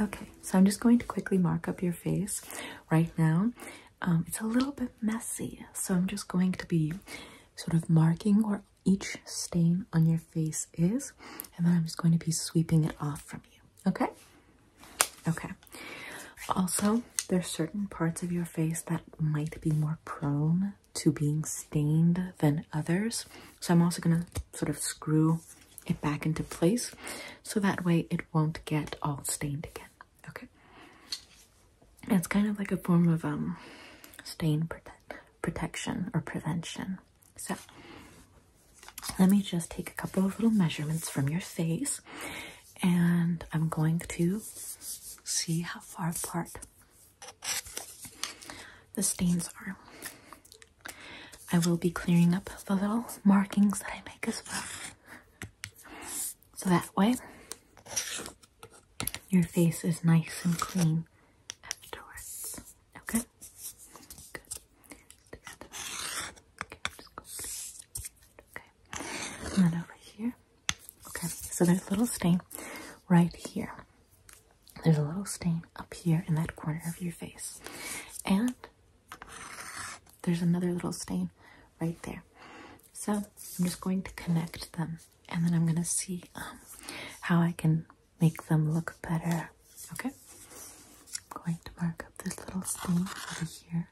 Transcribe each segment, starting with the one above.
Okay, so I'm just going to quickly mark up your face right now. Um, it's a little bit messy, so I'm just going to be sort of marking where each stain on your face is, and then I'm just going to be sweeping it off from you, okay? Okay. Also, know there's certain parts of your face that might be more prone to being stained than others. So I'm also going to sort of screw it back into place so that way it won't get all stained again. Okay. it's kind of like a form of um stain protection or prevention. So let me just take a couple of little measurements from your face and I'm going to see how far apart the stains are. I will be clearing up the little markings that I make as well. So that way, your face is nice and clean afterwards. Okay? Okay. And then over here. Okay, so there's a little stain right here. There's a little stain up here in that corner of your face. And there's another little stain right there. So I'm just going to connect them and then I'm going to see um, how I can make them look better. Okay? I'm going to mark up this little stain over here.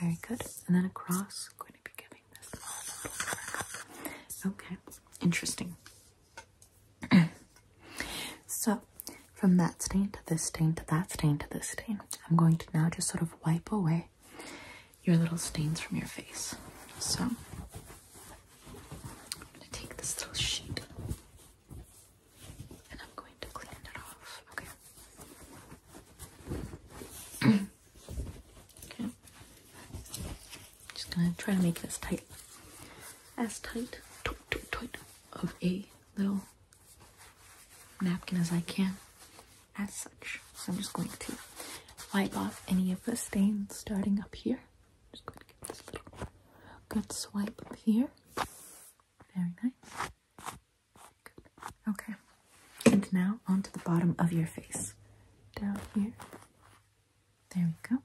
Very good. And then across, Okay, interesting. so, from that stain to this stain to that stain to this stain, I'm going to now just sort of wipe away your little stains from your face. So, I'm going to take this little sheet and I'm going to clean it off. Okay. okay. Just going to try to make this tight. As tight, tight, tight of a little napkin as I can as such. So I'm just going to wipe off any of the stains starting up here. Just going to this little good swipe up here. Very nice. Good. Okay. And now onto the bottom of your face. Down here. There we go.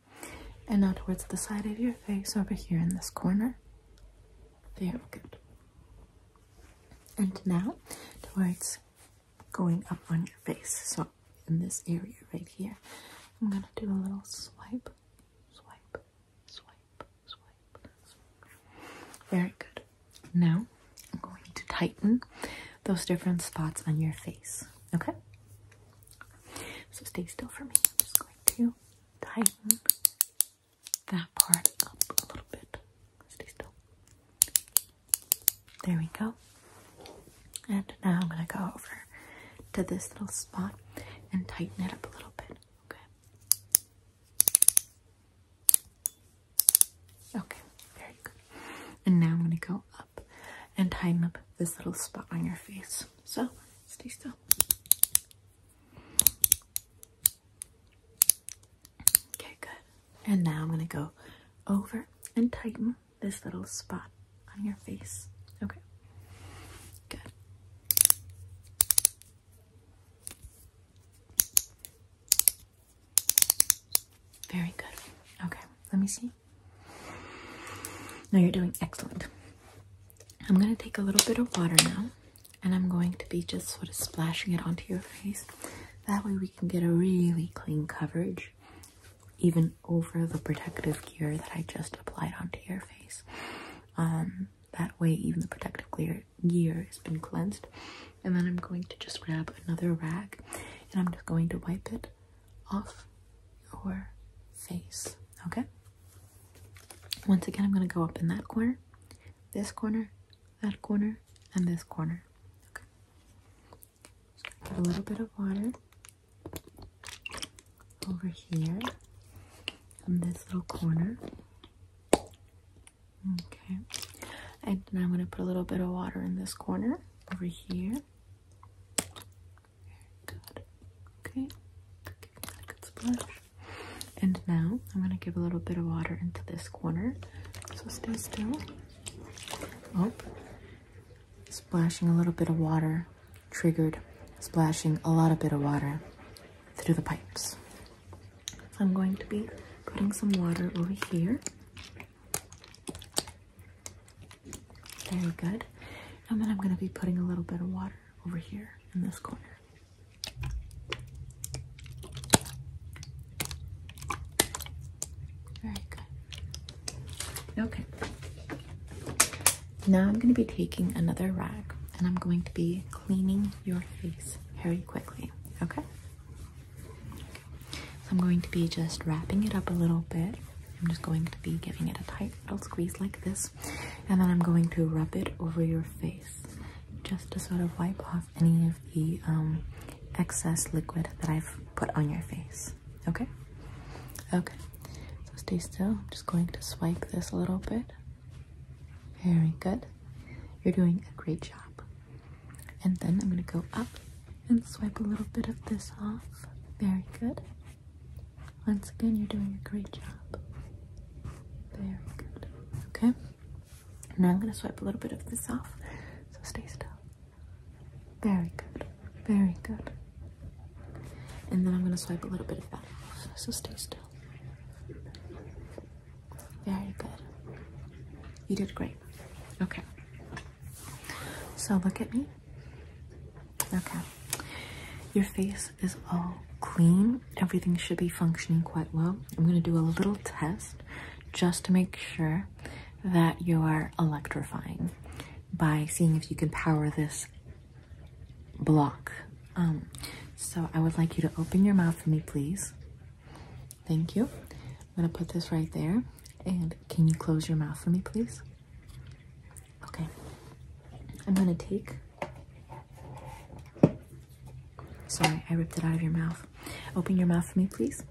And now towards the side of your face over here in this corner. Very good. And now towards going up on your face. So in this area right here, I'm gonna do a little swipe, swipe, swipe, swipe. Very good. Now I'm going to tighten those different spots on your face. Okay? So stay still for me. I'm just going to tighten that part up a little bit. Stay still. There we go. And now I'm going to go over to this little spot and tighten it up a little bit. Okay. Okay, very good. And now I'm going to go up and time up this little spot on your face. So stay still. Okay, good. And now I'm going to go over and tighten this little spot on your face. Okay. Good. Very good. Okay, let me see. Now you're doing excellent. I'm going to take a little bit of water now and I'm going to be just sort of splashing it onto your face that way we can get a really clean coverage even over the protective gear that I just applied onto your face. Um, that way even the protective gear has been cleansed. And then I'm going to just grab another rag and I'm just going to wipe it off your face, okay? Once again, I'm going to go up in that corner, this corner, that corner and this corner. Okay. get a little bit of water over here in this little corner. Okay. And then I'm going to put a little bit of water in this corner over here. Very good. Okay. good splash. And now I'm going to give a little bit of water into this corner so stay still. Oh, splashing a little bit of water triggered splashing a lot of bit of water through the pipes. I'm going to be putting some water over here. Very good. And then I'm going to be putting a little bit of water over here in this corner. Very good. Okay. Now I'm going to be taking another rag and I'm going to be cleaning your face very quickly. Okay? okay. So I'm going to be just wrapping it up a little bit. I'm just going to be giving it a tight little squeeze like this. And then I'm going to rub it over your face just to sort of wipe off any of the um, excess liquid that I've put on your face. Okay? Okay. So stay still. I'm just going to swipe this a little bit. Very good. You're doing a great job. And then I'm going to go up and swipe a little bit of this off. Very good. Once again, you're doing a great job. Very good. Okay? Now I'm going to swipe a little bit of this off. So stay still. Very good. Very good. And then I'm going to swipe a little bit of that off. So stay still. Very good. You did great. Okay. So look at me. Okay. Your face is all clean. Everything should be functioning quite well. I'm going to do a little test just to make sure that you are electrifying by seeing if you can power this block. Um, so I would like you to open your mouth for me, please. Thank you. I'm going to put this right there. And can you close your mouth for me, please? Okay, I'm gonna take. Sorry, I ripped it out of your mouth. Open your mouth for me, please.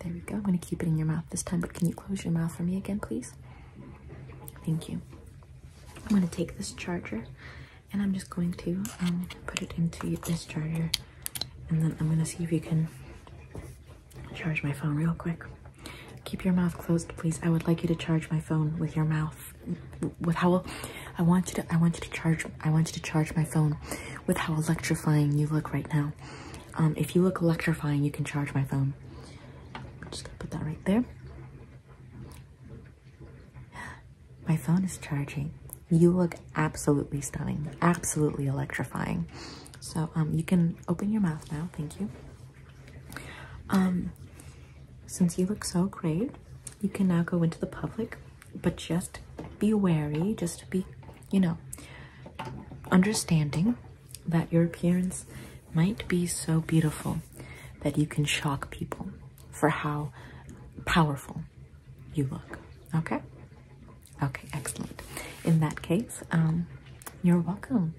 There we go. I'm gonna keep it in your mouth this time, but can you close your mouth for me again, please? Thank you. I'm gonna take this charger and I'm just going to um, put it into this charger and then I'm gonna see if you can charge my phone real quick. Keep your mouth closed, please. I would like you to charge my phone with your mouth with how I want you to I want you to charge I want you to charge my phone with how electrifying you look right now. Um, if you look electrifying, you can charge my phone. I'm just gonna put that right there. My phone is charging. You look absolutely stunning, absolutely electrifying. So um, you can open your mouth now. Thank you. Um, since you look so great, you can now go into the public, but just be wary, just be, you know, understanding that your appearance might be so beautiful that you can shock people for how powerful you look. Okay? Okay, excellent. In that case, um, you're welcome.